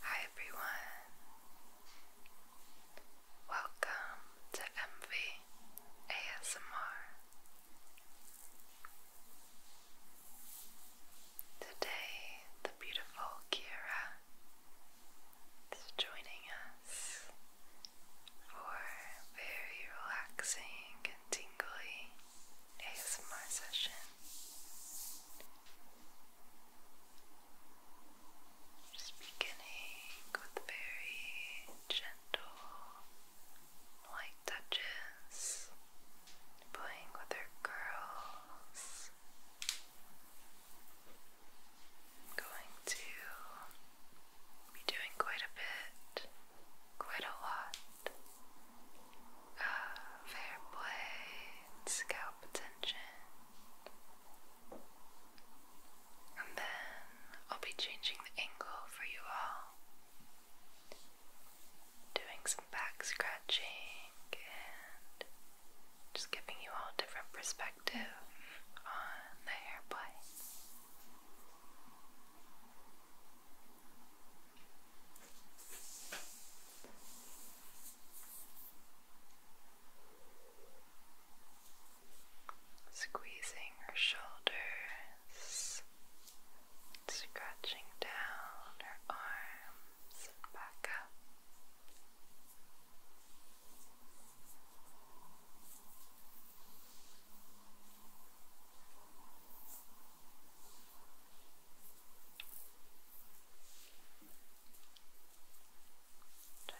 Hi everyone, welcome to MV ASMR. Today, the beautiful Kira is joining us for very relaxing and tingly ASMR session. Just beginning with very gentle light touches, playing with her curls. Going to be doing quite a bit, quite a lot of uh, fair play scalp attention. And then I'll be changing the angle for you all. Doing some back scratching and just giving you all a different perspective on the hair play. Squeezing her shoulders, scratching down her arms and back up.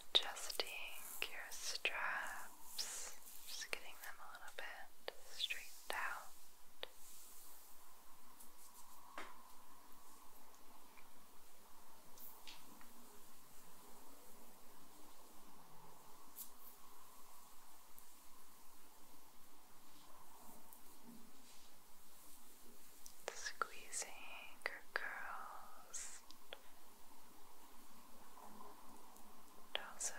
Adjusting your straps, just getting them a little bit straightened out. Squeezing her curls, and also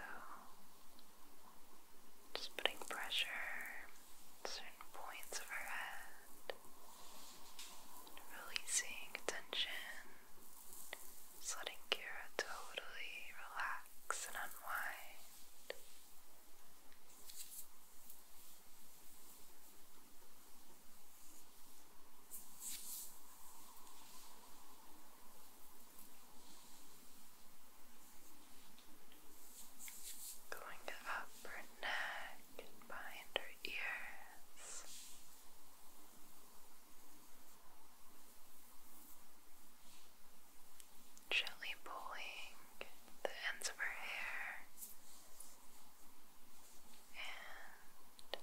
just putting pressure at certain points of her head, releasing tension letting Kira totally relax and unwind. Going up her neck behind her ears. Gently pulling the ends of her hair, and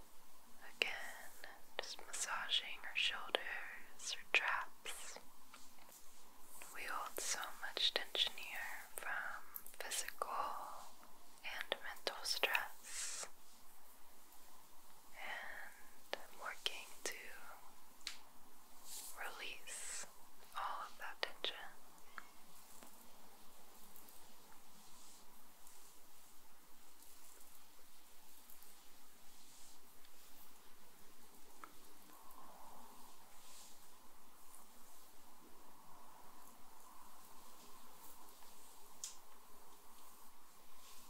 again, just massaging her shoulders, her traps. We hold so much tension here from physical and mental stress and working to release all of that tension.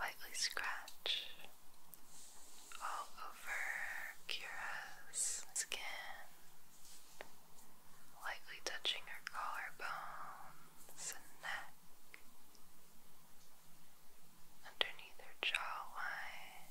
lightly scratch all over Kira's skin, lightly touching her collarbones and neck, underneath her jawline.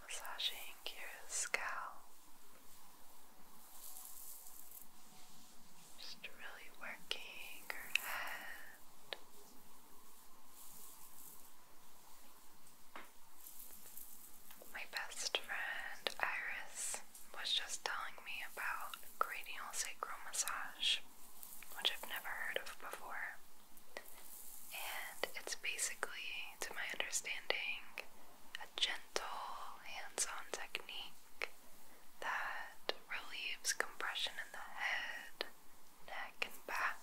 Massaging your scalp, just really working your head. My best friend Iris was just telling me about cranial sacral massage, which I've never heard of before. And it's basically, to my understanding, a gentle hands on technique that relieves compression in the head, neck, and back.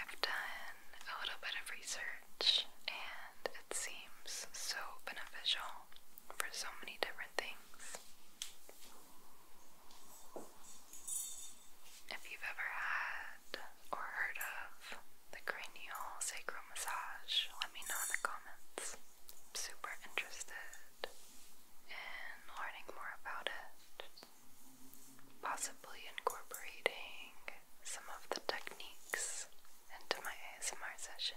I've done a little bit of research and it seems so beneficial for so many different things. If you've ever had or heard of the cranial massage, let me know in the comments. I'm super interested in learning more about it possibly incorporating some of the techniques into my ASMR sessions.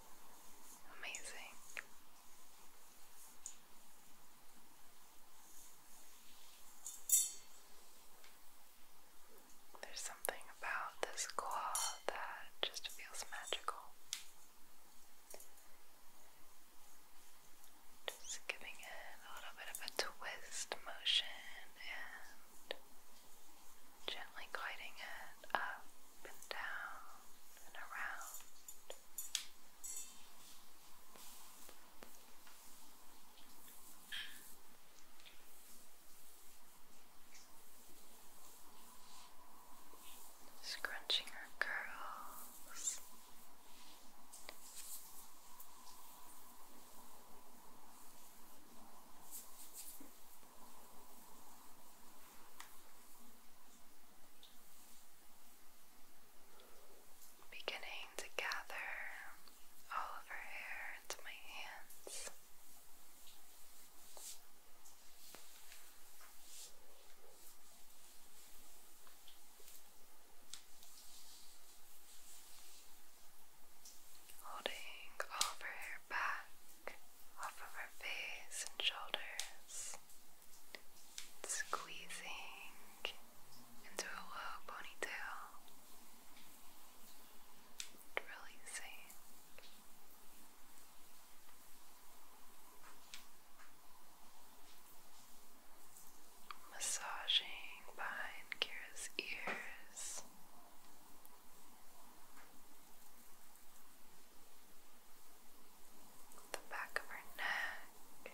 Amazing. There's something about this claw that just feels magical. Just giving it a little bit of a twist motion and gently guiding it up and down and around. Scrunching her curls. Beginning to gather all of her hair into my hands. Holding all of her hair back off of her face and shoulders, squeezing into a low ponytail, releasing. Massaging behind Kira's ears, the back of her neck.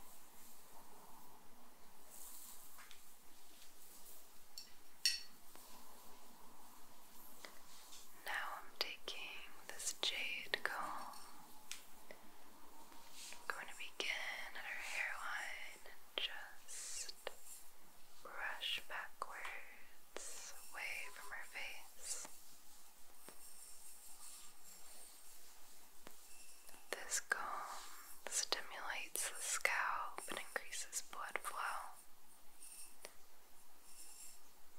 Now I'm taking this jade comb. I'm going to begin at her hairline and just brush backwards away from her face. This calm stimulates the scalp and increases blood flow.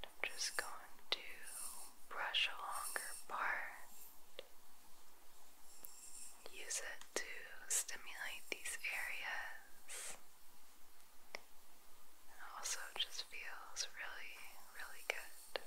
I'm just going to brush along her part, use it to stimulate these areas. And also just feels really, really good.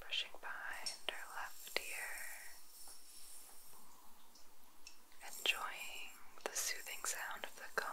Brushing behind her left ear, enjoying the soothing sound of the comb.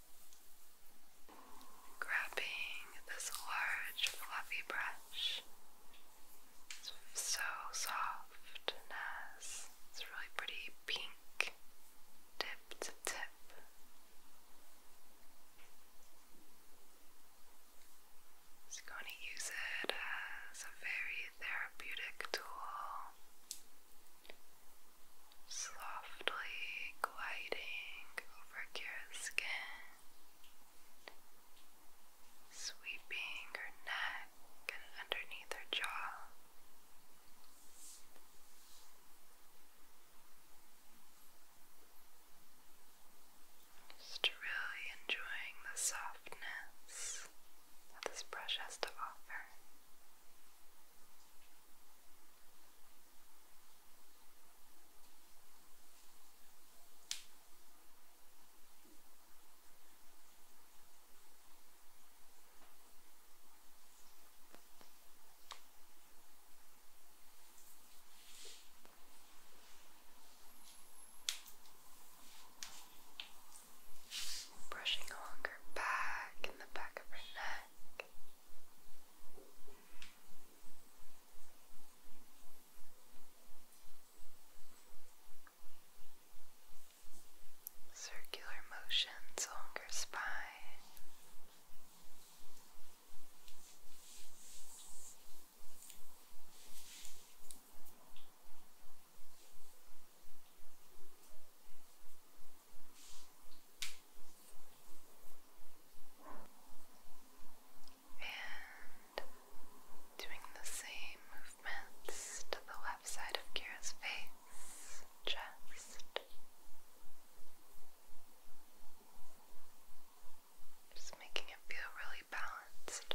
Grabbing this large fluffy brush. It's so soft and has this really pretty pink tip to tip. Just going to use it as a very therapeutic tool. Slowly softly gliding over Kira's skin, sweeping her neck and underneath her jaw. Just really enjoying the softness that this brush has to offer. Brushing along her back and the back of her neck. Circular motions along your spine. And doing the same movements to the left side of Kira's face, chest, just making it feel really balanced.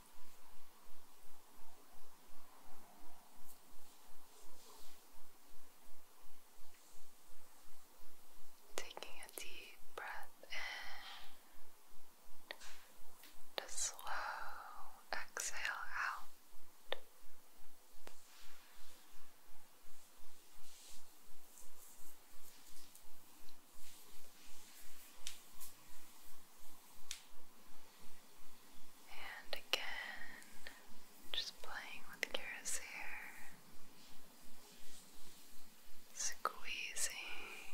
Taking a deep breath in, the slow exhale out. And again, just playing with Kira's hair, squeezing,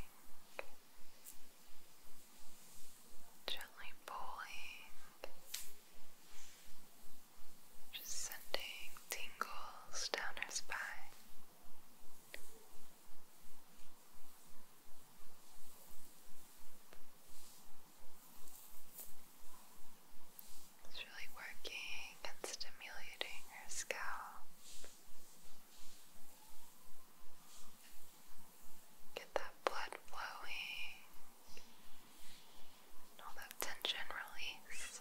gently pulling, just sending tingles down her spine. It's really working and stimulating her scalp. Get that blood flowing, and all that tension released.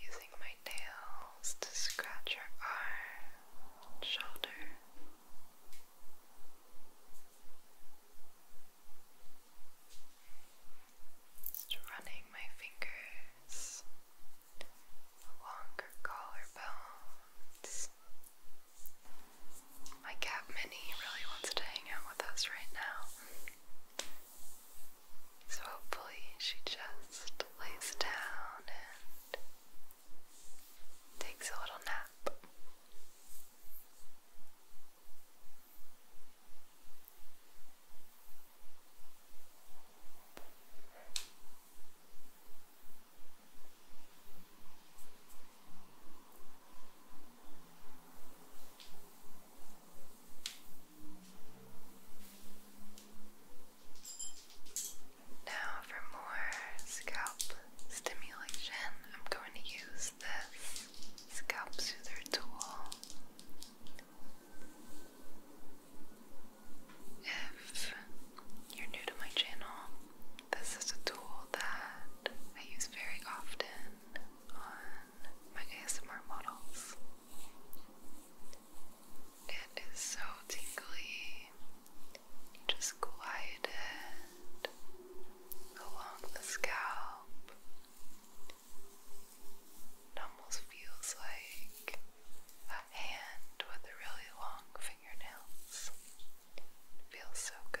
using my nails to scratch your arm, shoulder. Just running my fingers along her collarbones. My cat Minnie really wants to hang out with us right now. So hopefully she just lays down and takes a little nap. Now, for more scalp stimulation, I'm going to use use this scalp soother tool if you're new to my channel. This is a tool that I use very often on my ASMR models. It is so tingly. You just glide it along the scalp. It almost feels like a hand with really long fingernails. feels so good.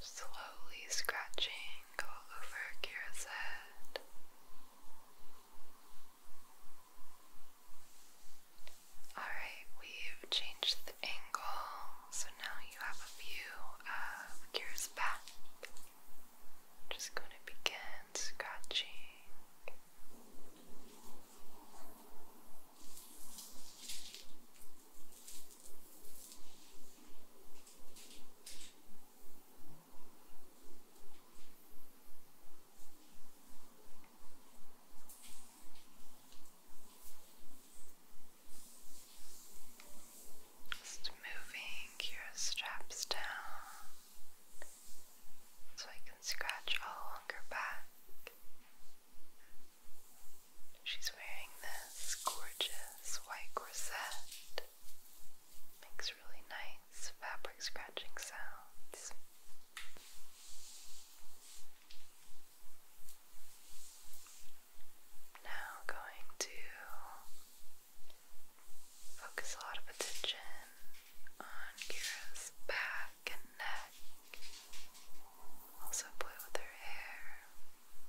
slowly scratching all over Kira's head. Alright, we've changed the angle, so now you have a view of Kira's back. Just going to begin scratching. Just moving your straps down so I can scratch all along back. She's wearing this gorgeous this white corset makes really nice fabric scratching sounds. Now, going to focus a lot of attention on Kira's back and neck. Also, play with her hair.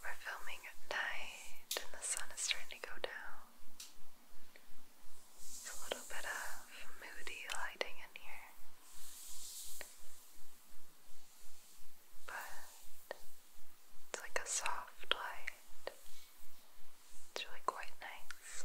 We're filming at night and the sun is starting to go down. It's a little bit of moody lighting in here. But it's like a soft light. It's really quite nice.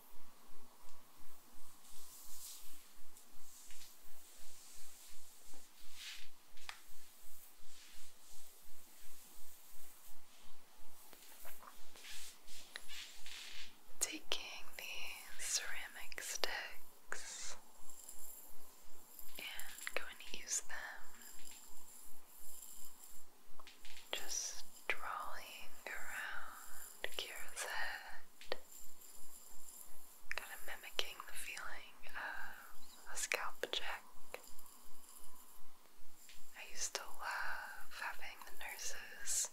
Taking the ceramic sticks and going to use them just drawing around Kira's head, kind of mimicking the feeling of a scalp check. I used to love having the nurses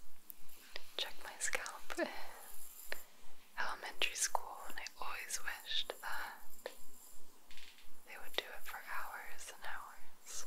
check my scalp in elementary school, and I always wished that they would do it for hours and hours.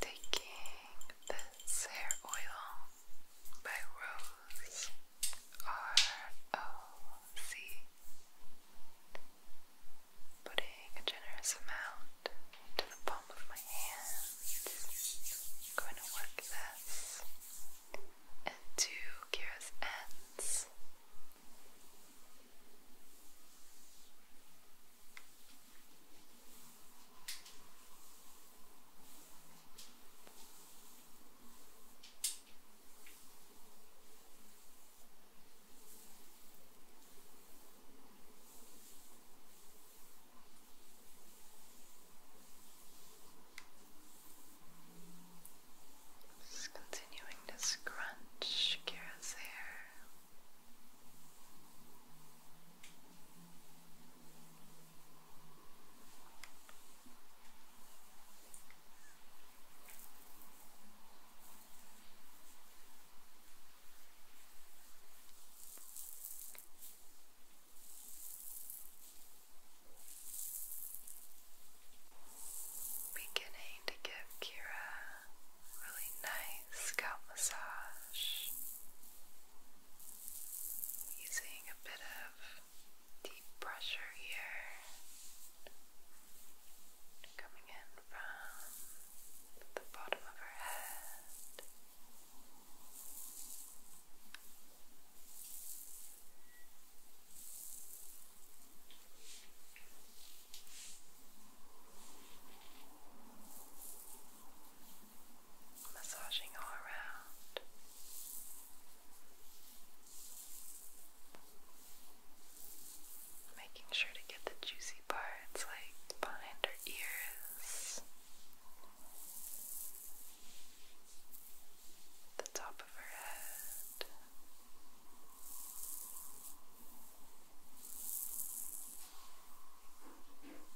Taking the fragrance hair oil by Rose R O C. Putting a generous amount into the palm of my hand. I'm going to work this into Kira's ends. Just continuing to scrunch Kira's hair. Beginning to give Kira a really nice scalp massage. Using a bit of deep pressure here, coming in from the bottom of her head massaging all around. Making sure to get the juicy parts like behind her ears, the top of her head.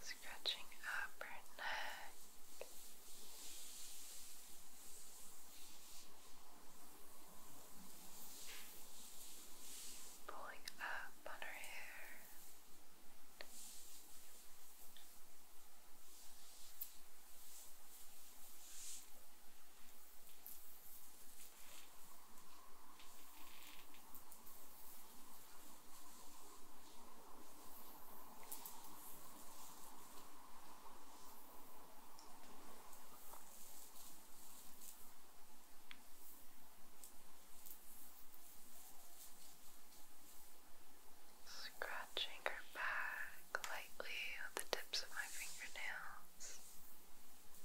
Scratching up her neck. Pulling up on her hair. Scratching her back lightly with the tips of my fingernails.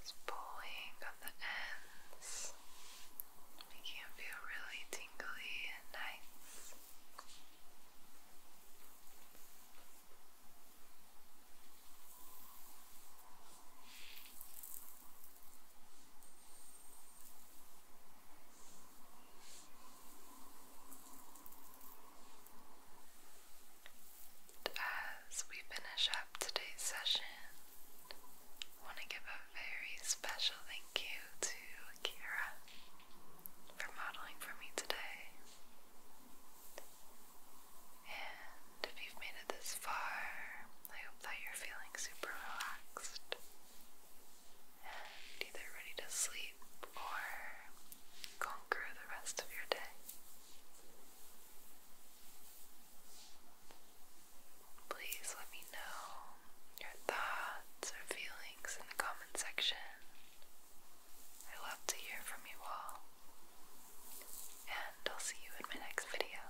It's pulling on the ends, making it feel really tingly and nice as we finish up today's session, want to give a very special thank you to Kira for modeling for me today. And if you've made it this far, I hope that you're feeling super relaxed and either ready to sleep or conquer the rest of your day. Please let me know your thoughts or feelings in the comment section. I love to hear from you all, and I'll see you in my next video.